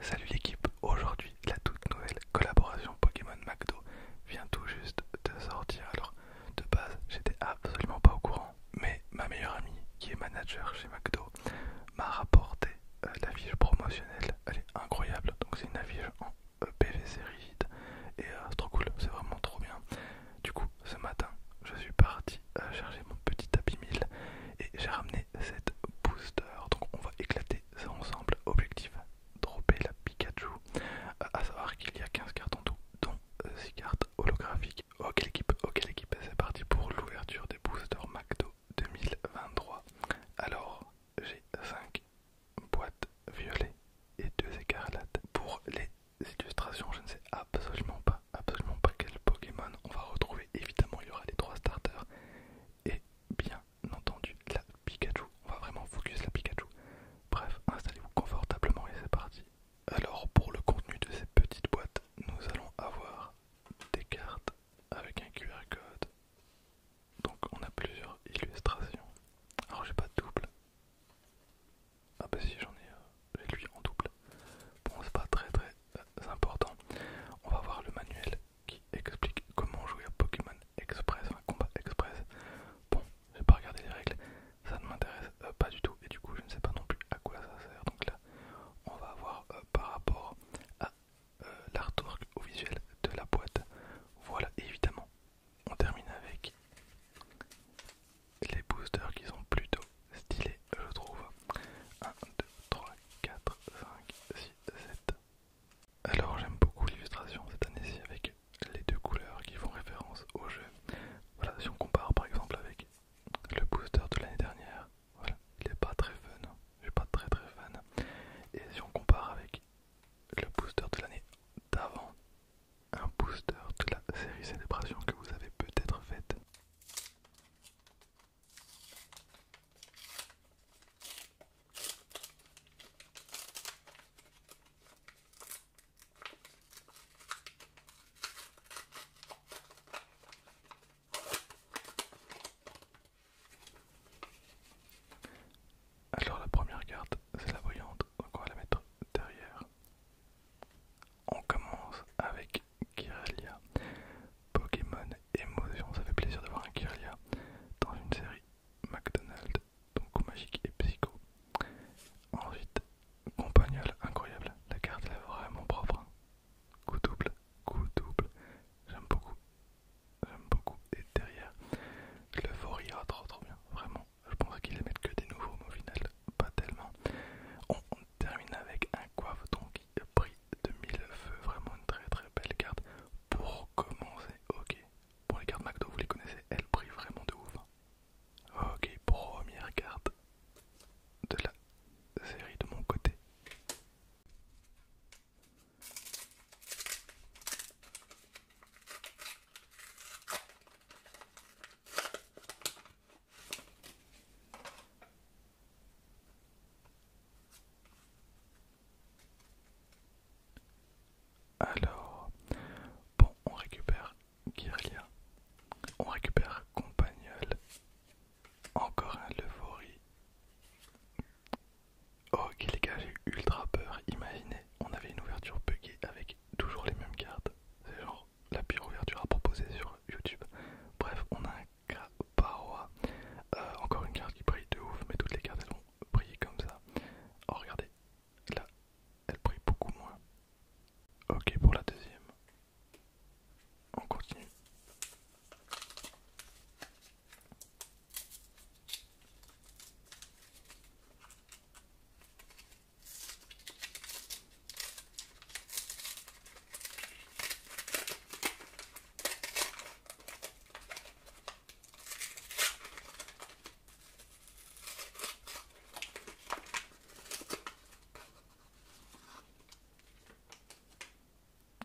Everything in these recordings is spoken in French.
Salut l'équipe, aujourd'hui la toute nouvelle collaboration Pokémon McDo vient tout juste de sortir. Alors de base j'étais absolument pas au courant, mais ma meilleure amie qui est manager chez McDo m'a rapporté euh, la fiche promotionnelle, elle est incroyable, donc c'est une affiche en euh, PVC rigide et euh, c'est trop cool, c'est vraiment trop bien. Du coup ce matin je suis parti euh, j'ai mon petit tapis 1000 et j'ai ramené cette booster. Donc on va éclater ça ensemble. Objectif dropper la Pikachu. Euh, à savoir qu'il y a 15 cartes en tout, dont 6 euh, cartes holographiques. Ok l'équipe, ok l'équipe, c'est parti pour l'ouverture des boosters McDo 2023. Alors j'ai 5 boîtes violettes et 2 écarlates. Pour les illustrations, je ne sais absolument pas absolument pas quel Pokémon on va retrouver. Évidemment, il y aura les trois starters et bien entendu la Pikachu. On va vraiment focus la Pikachu. Bref, installez-vous confortablement et c'est parti. Alors, pour le contenu de cette petite boîte, nous allons avoir des cartes avec un QR code. Donc, on a plusieurs illustrations. Alors, j'ai pas de double. Ah, bah si, j'en ai et lui en double. Bon, c'est pas très très euh, important. On va voir le manuel qui explique comment jouer à Pokémon Express, enfin Combat Express. Bon, j'ai pas regardé les règles, ça ne m'intéresse euh, pas du tout et du coup je ne sais pas non plus à quoi ça sert. Donc là, on va voir euh, par rapport à l'artwork au visuel de la boîte. Voilà, évidemment, on termine avec les boosters qui sont plutôt stylés, je trouve. 1, 2, 3, 4, 5, 6, 7. Alors j'aime beaucoup l'illustration cette année-ci avec les deux couleurs qui font référence au jeu. Voilà, si on compare par exemple avec le booster de l'année dernière, voilà, il n'est pas très fun, je suis pas très très fan. Et si on compare avec le booster de l'année d'avant, un booster de la série Célébration que vous avez peut-être faite, alors la première carte, c'est la voyante, donc on va la mettre derrière. On commence avec Kyrelia. Pokémon émotion, ça fait plaisir de voir un Kyrelia dans une série McDonald's, donc Magique et Psycho. Ensuite, Compagnol, incroyable, la carte elle est vraiment propre. Hein. Coup double, coup double, j'aime beaucoup, j'aime beaucoup. Et derrière, Le oh, trop trop bien, vraiment je pensais qu'ils mettre que des nouveaux, mais au final, pas tellement. On, termine avec un coiffeton qui brille de mille feux. Vraiment une très très belle carte. Pour commencer, ok. Pour les cartes McDo, vous les connaissez, elles brillent vraiment de ouf. Hein. Ok, première carte de la série de mon côté. Alors, bon, on récupère Guerilla, on récupère Compagnol, encore un Levori. Ok oh, les gars, j'ai ultra peur, imaginez, on avait une ouverture buggée avec toujours les mêmes cartes. C'est genre la pire ouverture à proposer sur YouTube. Bref, on a un Caparoa. Euh, encore une carte qui brille de ouf, mais toutes les cartes elles vont briller comme ça. Oh, regardez, là, elle brille beaucoup moins. Ok, pour la deuxième, on continue.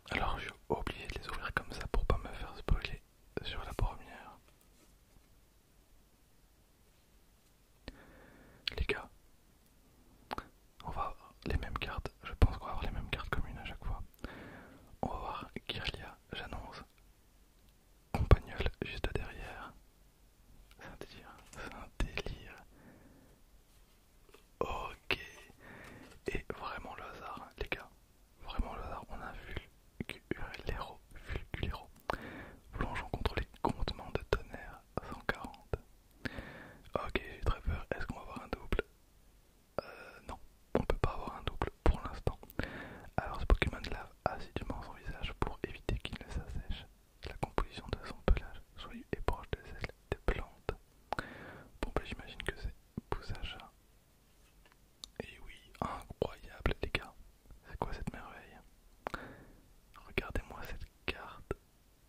Alors, j'ai oublié de les ouvrir comme ça pour pas me faire spoiler sur la première. Les gars, on va avoir les mêmes cartes. Je pense qu'on va avoir les mêmes cartes communes à chaque fois. On va voir Kirlia, j'annonce. Compagnol juste derrière. C'est un délire, c'est un délire. Ok. Et vraiment le hasard, les gars. Vraiment le hasard, on a vulgulero. Vulculero, plongeons contre les comptements de tonnerre 140. Ok, j'ai très peur, est-ce qu'on va avoir un double euh, non, on ne peut pas avoir un double pour l'instant. Alors ce Pokémon lave assidûment son visage pour éviter qu'il ne s'assèche. La composition de son pelage Soyez et proche de celle des plantes. Bon, bah j'imagine que c'est poussacha et eh oui, incroyable les gars. C'est quoi cette merveille Regardez-moi cette carte.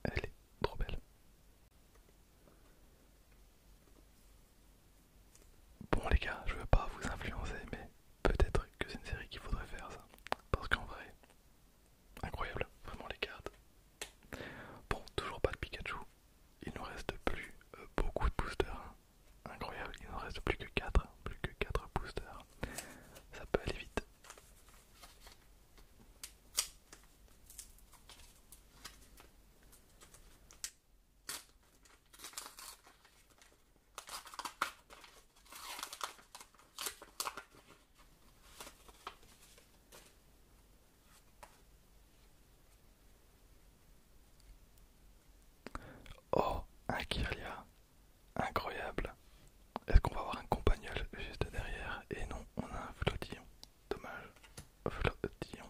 Elle est trop belle. Bon les gars, je veux pas vous influencer, mais peut-être que c'est une série qu'il faudrait faire ça. Parce qu'en vrai, incroyable, vraiment les cartes. Bon, toujours pas de Pikachu, il nous reste plus euh, beaucoup de boosters. Hein. Incroyable, il nous reste plus que quatre, hein, plus que quatre boosters. Ça peut aller vite. Oh, un Kirlia, Incroyable. Est-ce qu'on va avoir un Compagnol juste derrière Et non, on a un Flotillon. Dommage. Flotillon.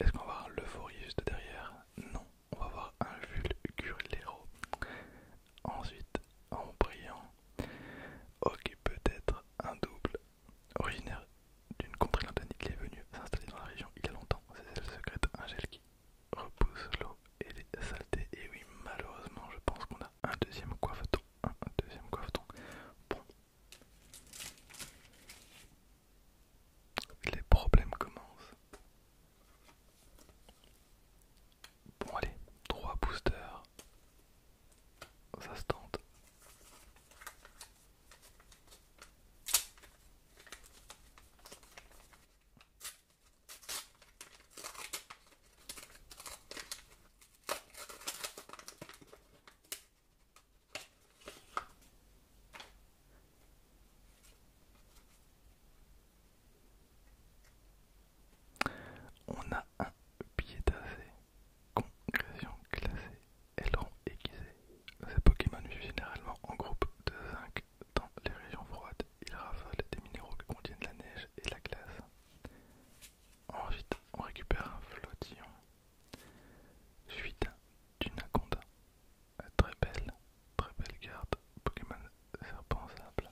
Est-ce qu'on va avoir un de juste derrière Non, on va avoir un Vulgurlero. Ensuite, en brillant. Ok, peut-être un double Originaire d'une contrée londonienne, il est venu s'installer dans la région il y a longtemps. C'est le secrète, un gel qui repousse l'eau et les saletés. Et oui, malheureusement, je pense qu'on a un deuxième coiffeton. Un, deuxième coiffeton. Bon. Les problèmes commencent. Bon, allez, trois boosters. Ça se tente. On a un pied d'assez, congrésion classée ailerons aiguisé. Ces Pokémon vivent généralement en groupe de zinc dans les régions froides. Ils raffolent des minéraux qui contiennent la neige et la glace. Ensuite, on récupère un flottillon. Suite d'une aconda. Très belle, très belle carte. Pokémon serpent simple.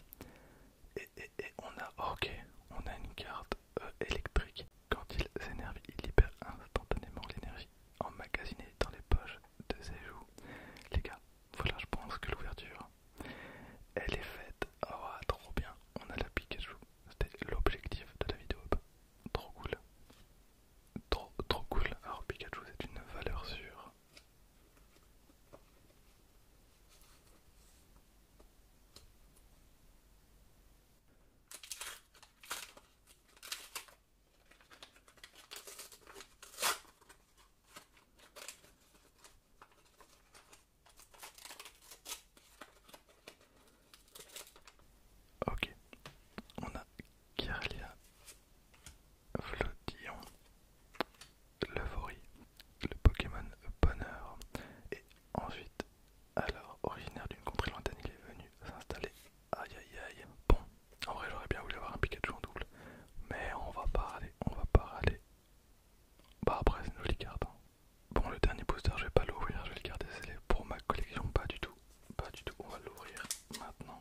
Et, et, on a, ok, on a une carte euh, électrique. Quand il s'énerve, il libère instantanément l'énergie emmagasinée dans les poches de ses joues. Les gars, voilà, je pense que l'ouverture, elle est faite. Oh, trop bien, on a la Pikachu. C'était l'objectif de la vidéo. Bah, trop cool. Trop, trop cool. Alors, Pikachu, c'est une valeur sûre. Ok, on a Kirlia, Vlodillon, Levory, le Pokémon Bonheur, et ensuite alors, originaire d'une contrée lointaine, il est venu s'installer. Aïe aïe aïe. Bon, en vrai, j'aurais bien voulu avoir un Pikachu en double. Mais on va pas râler, on va pas râler. Bah, après, c'est une jolie carte. Hein. Bon, le dernier booster, je vais pas l'ouvrir, je vais le garder c'est pour ma collection. Pas du tout, pas du tout. On va l'ouvrir maintenant.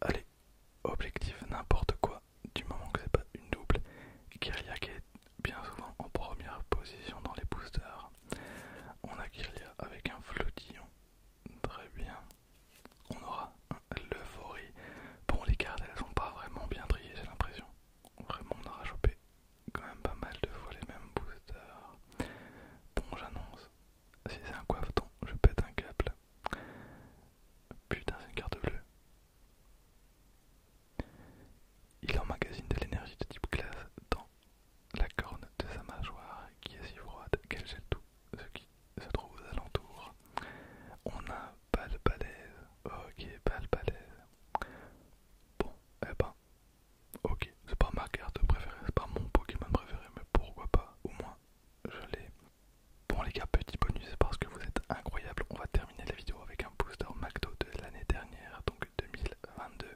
Allez, objectif n'importe quoi, du moment que c'est pas une double. Kyria qui est bien souvent en première position dans les boosters. On a Kyria avec un flotillon, très bien. On aura l'euphorie. Bon, les cartes elles sont pas vraiment bien triées, j'ai l'impression. Vraiment, on aura chopé quand même pas mal de fois les mêmes boosters. Bon, j'annonce si c'est un coiffeton, je pète un câble. Putain, c'est une carte bleue. Il emmagasine de l'énergie de type glace dans la corne de sa mâchoire qui est si froide qu'elle gèle tout ce qui se trouve aux alentours. On a pas le balèze. Ok, pas le balèze. Bon, eh ben Ok, c'est pas ma carte préférée, c'est pas mon Pokémon préféré, mais pourquoi pas Au moins, je l'ai. Bon les gars, petit bonus parce que vous êtes incroyables, on va terminer la vidéo avec un booster McDo de l'année dernière, donc 2022,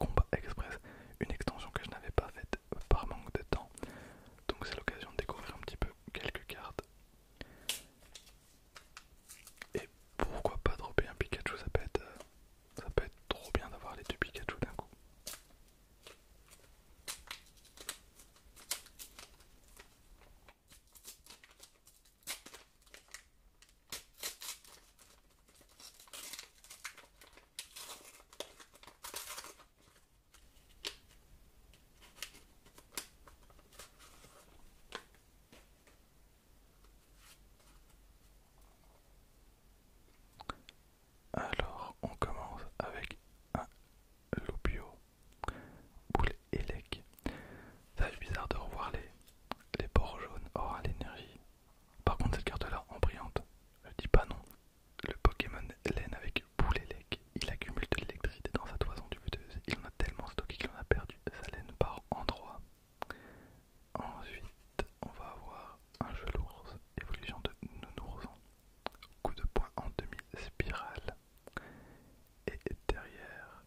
Combat Express, une extension que je n'avais pas faite par manque de temps. Donc c'est l'occasion de découvrir un petit peu quelques cartes. Et pourquoi pas dropper un Pikachu, ça peut être euh, ça peut être trop bien d'avoir les deux Pikachu d'un coup. Alors, on commence avec un Lopio, boule élec Ça fait bizarre de revoir les, les bords jaunes hors oh, l'énergie. Par contre, cette carte-là, en brillante, je dis pas non. Le Pokémon laine avec boule élec il accumule de l'électricité dans sa toison du Il en a tellement stocké qu'il en a perdu sa laine par endroit. Ensuite, on va avoir un jeu l'ours, évolution de nounours, coup de poing en demi-spirale. Et derrière,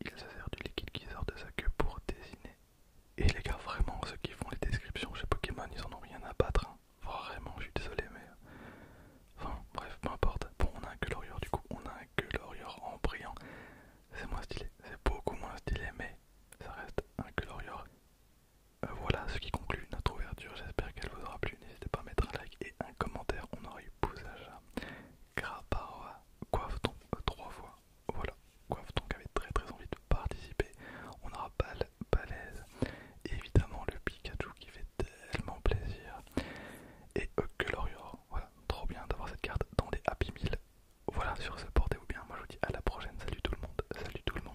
il se sert du liquide qui sort de sa queue pour dessiner. Et les gars, vraiment, ceux qui font les descriptions chez Pokémon, ils en ont rien à battre. Hein. Vraiment, je suis désolé, mais. Enfin, bref, peu importe. Bon, on a un Glorior, du coup, on a un Glorior en brillant c'est moins stylé, c'est beaucoup moins stylé, mais ça reste un Glorior. Euh, voilà ce qui conclut notre ouverture, j'espère qu'elle vous aura plu, n'hésitez pas à mettre un like et un commentaire, on aurait eu plus à chat. coiffe euh, trois fois, voilà, coiffe qui avait très très envie de participer, on aura Bal, Balèze, évidemment le Pikachu qui fait tellement plaisir, et euh, Glorior, voilà, trop bien d'avoir cette carte dans les Happy Meal voilà, sur ce, portez-vous bien. Moi, je vous dis à la prochaine. Salut tout le monde. Salut tout le monde.